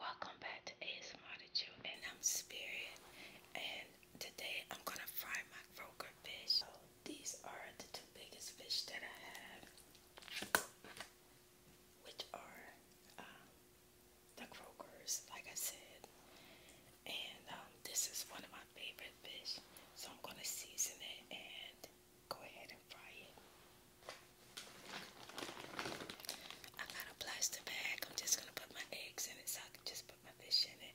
Welcome back to ASMR to you and I'm Spirit and today I'm gonna fry my croaker fish. these are the two biggest fish that I have, which are um, the croakers, like I said. And um, this is one of my favorite fish, so I'm gonna season it and go ahead and fry it. I got a plastic bag. I'm just gonna put my eggs in it, so I can just put my fish in it.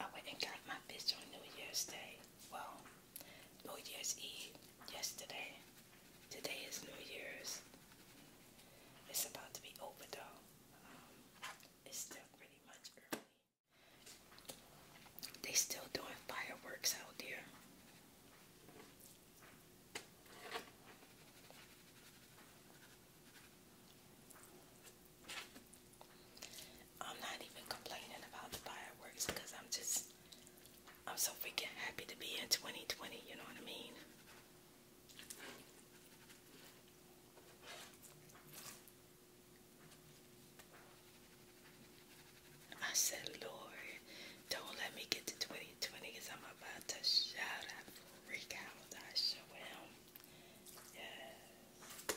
I went and got my fish on New Year's Day. Well, New Year's Eve yesterday. Today is New Year's. It's about to be over though. Um, it's still pretty much early. They still doing fireworks out there. I'm not even complaining about the fireworks because I'm just I'm so freaking happy to be in 2020, you know what I mean? I said, Lord, don't let me get to 2020 I'm about to shout out, freak out, I show him. Yes.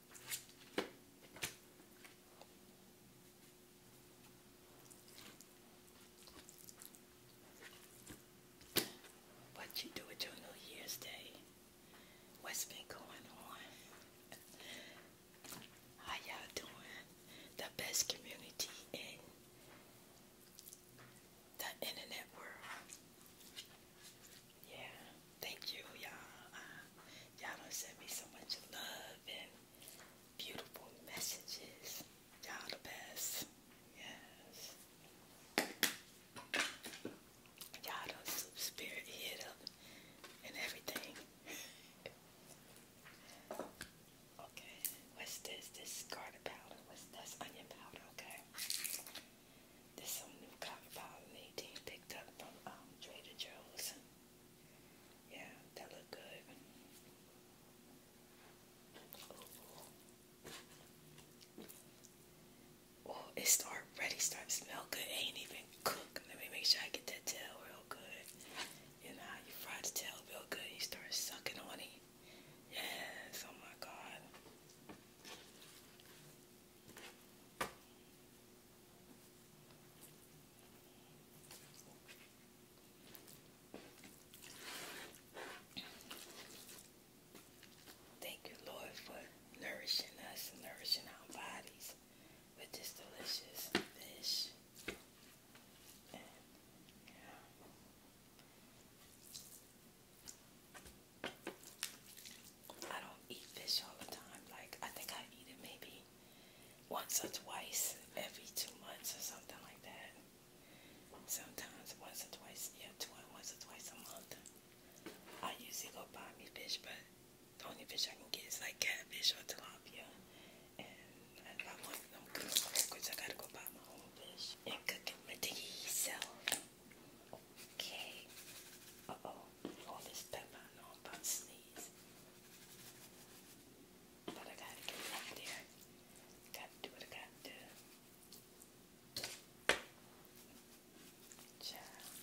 What you do with your New Year's Day? What's been going on? How y'all doing? The best community in the internet world. Yeah, thank you, y'all. Uh, Y'all don't send me so much love and beautiful messages. Y'all the best. Yes. Y'all done soup spirit hit up and everything. okay. What's this? This garlic powder. What's this? Onion powder. Okay. This some new cotton powder Nadine picked up from um, Trader Joe's. Yeah, that look good. Oh, it's already starting to smell good. ain't even cooked. Let me make sure I get that tail real good. You know how you fry the tail real good, you start sucking on it. Yes, oh my god. Thank you, Lord, for nourishing us and nourishing our bodies with this delicious fish. I don't eat fish all the time. Like, I think I eat it maybe once or twice every two months or something like that. Sometimes once or twice, yeah, twice, once or twice a month. I usually go buy me fish, but the only fish I can get is like catfish or tilapia. And if I want them cooked, of I gotta go buy my own fish and cook it myself. Okay. Uh oh all this stuff I know about sneeze. But I gotta get it there. Gotta do what I gotta do. Child.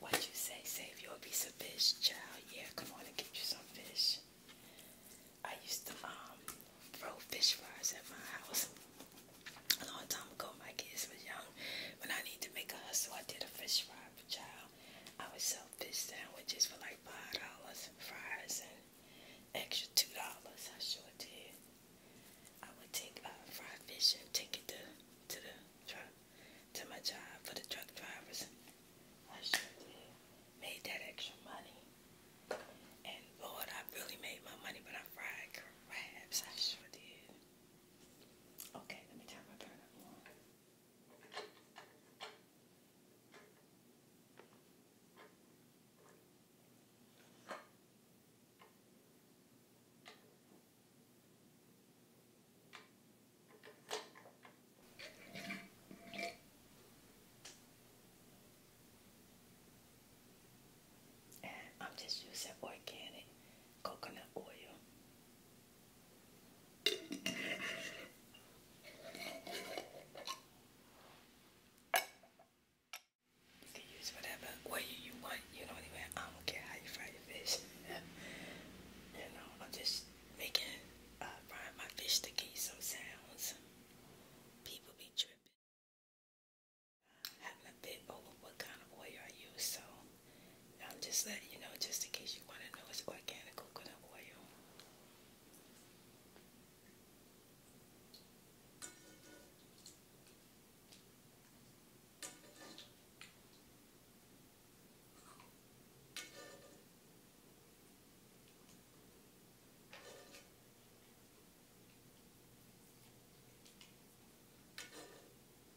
What you say, save your piece of fish, child. Yeah, come on and get you some fish. I used to um, throw fish fries at my house a long time ago. My kids were young. When I need to make a hustle, I did a fish fry child. I would sell fish sandwiches for like five dollars and fries and extra two dollars. I sure did. I would take uh, fried fish and take it to to the truck to my job for the truck drivers. I sure did. Made that extra money. And Lord, I really made my money but I fried crabs. I sure did. Okay, let me turn my burner on. I'm just using organic coconut oil. You can use whatever way you want. You don't I don't care how you fry your fish. you know, I'm just making, uh, my fish to get some sounds. People be tripping. Having a bit over what kind of oil I use, so I'm just letting you know, just in case you want to know, it's organic coconut oil.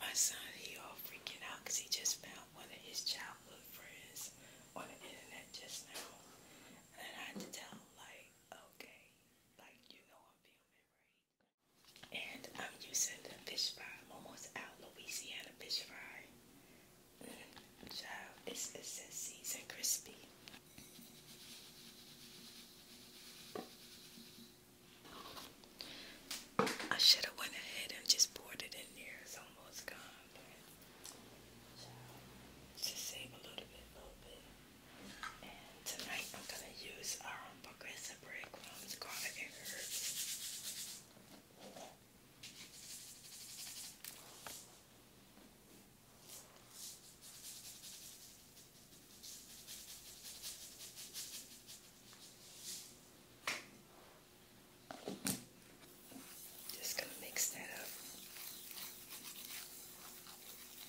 My son, he all freaking out he just found one of his childhood friends on the internet just now. And I had to tell like, okay, like, you know, and I'm using the fish fry, almost out Louisiana fish fry. Mm, child, it's, it seasoned crispy. I should have went ahead and just poured it in there. It's almost gone, just save a little bit, little bit. And tonight I'm gonna use our Progressive Breadcrumbs Garlic and Herbs. Just gonna mix that up.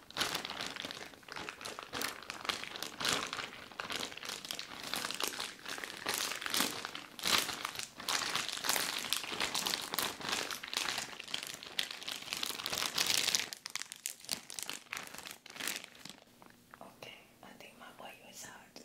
Okay, I think my boy is out.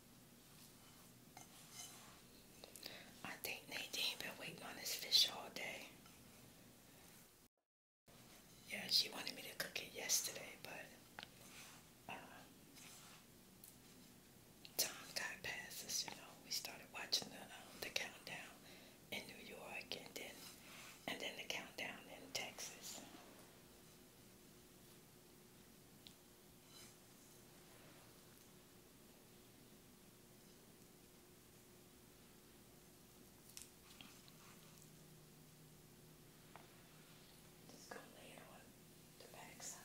I think Nadine been waiting on this fish all day. Yeah, she wanted me to cook it yesterday, but uh, time got past us, you know. We started watching the, um, the countdown in New York and then, and then the countdown in Texas. Just go lay it on the back side.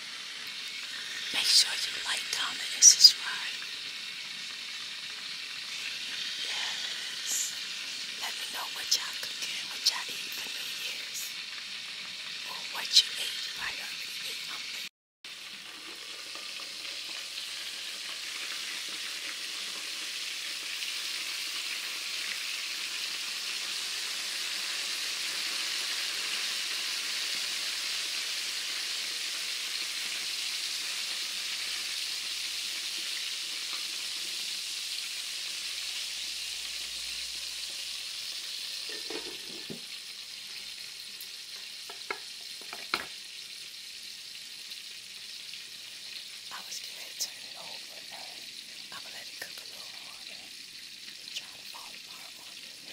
Make sure you like, comment, and subscribe. Yes. Let me know what y'all cooking, what y'all for New Year's. Or what you ate. You probably I was going to turn it over, but I'm going to let it cook a little harder. It's trying to fall apart on me.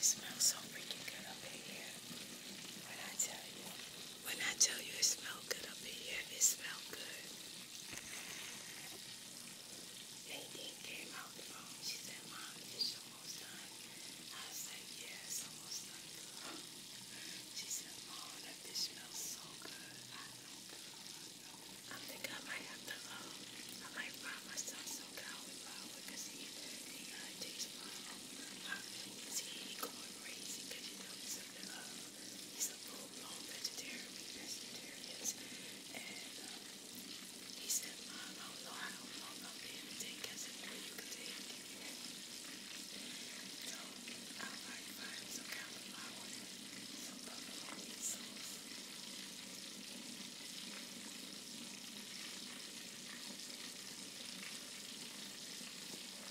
It smells so freaking good up in here. When I tell you. When I tell you it smells good up in here, it smells good. Nadine came out the phone. She said, Mom, it's almost done. I said, yeah, almost done. She said, Mom, that dish smells so good. I know, think I might have to, um, I might buy myself some cauliflower flour because he, he uh, takes my, my, he going crazy because, you know, absolutely love. He's a full-blown vegetarian, pescatarians, and um, he said, Mom, I don't know, I don't know if I'm being taken. I said, no, you can take it. So, I like find some kind of flour, some buffalo meat sauce. I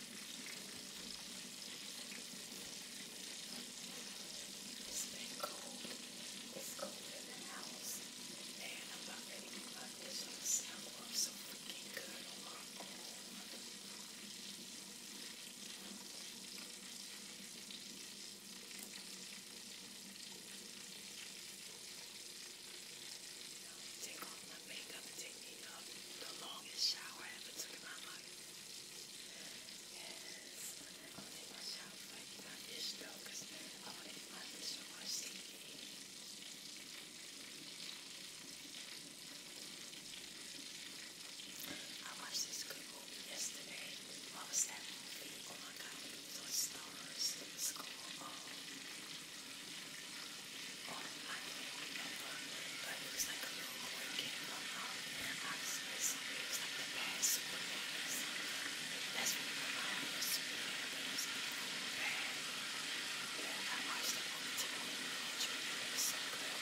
it's been cold. It's colder than the house. I'm about ready to plug this on the soundboard so freaking good on my Take off my makeup the, longest shower I ever took in my life. Yes, I'm my shower right in my dish cause I want my dishwash sinking. I watched this good yesterday. What was that movie? Oh my god, it Stars. It was called, but it was like a little boy came up out there. Obviously, something was like the bad Superman or something. That's what my mom was Superman, but it was bad. And I watched that all the time. It was so good. I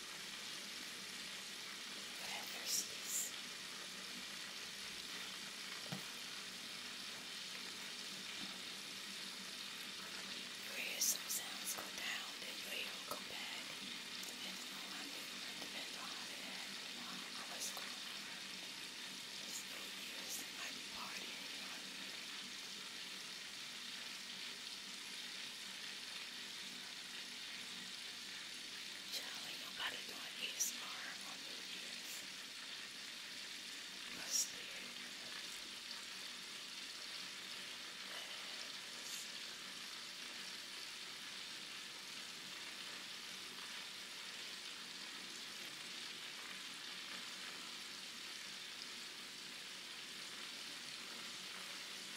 But I You hear some sounds go down, then you hear them go back. Depends I do. Depends on how they act. I was going on. It's Year's, it might partying. Child, ain't nobody doing ASMR on New Year's. Must be. Yes.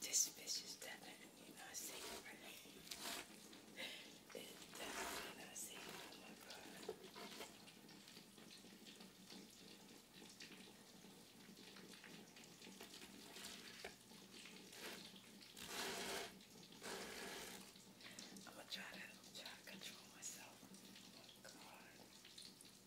This fish is definitely not safe for It's definitely not safe. Oh my god. I'm gonna try to try to control myself. Oh my god.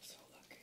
So lucky.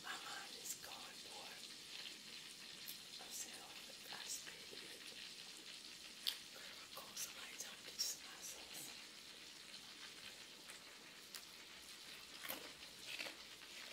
My mind is going for myself. I speak it. Girl, somebody told me to myself.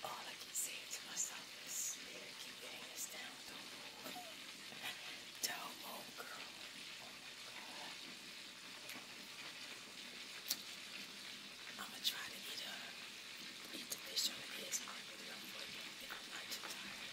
All I can say to myself is, Spirit, keep getting us down. Don't move. Don't move, girl. Oh my God. I'm going to try to eat, a, eat the fish on the edge of my video for you if I'm not too tired.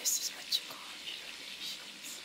This is what you call generations of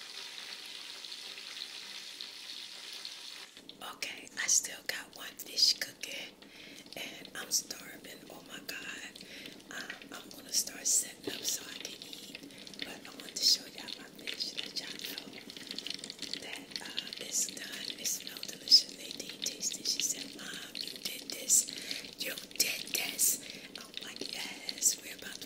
Okay, I still got one dish cooking and I'm starving. Oh my god. Um, I'm gonna start setting up so I can eat. But I want to show y'all my fish that y'all know that uh, it's done. It smells delicious. They Nadine tasted. She said, Mom, you did this. You did this. I'm like, yes, we're about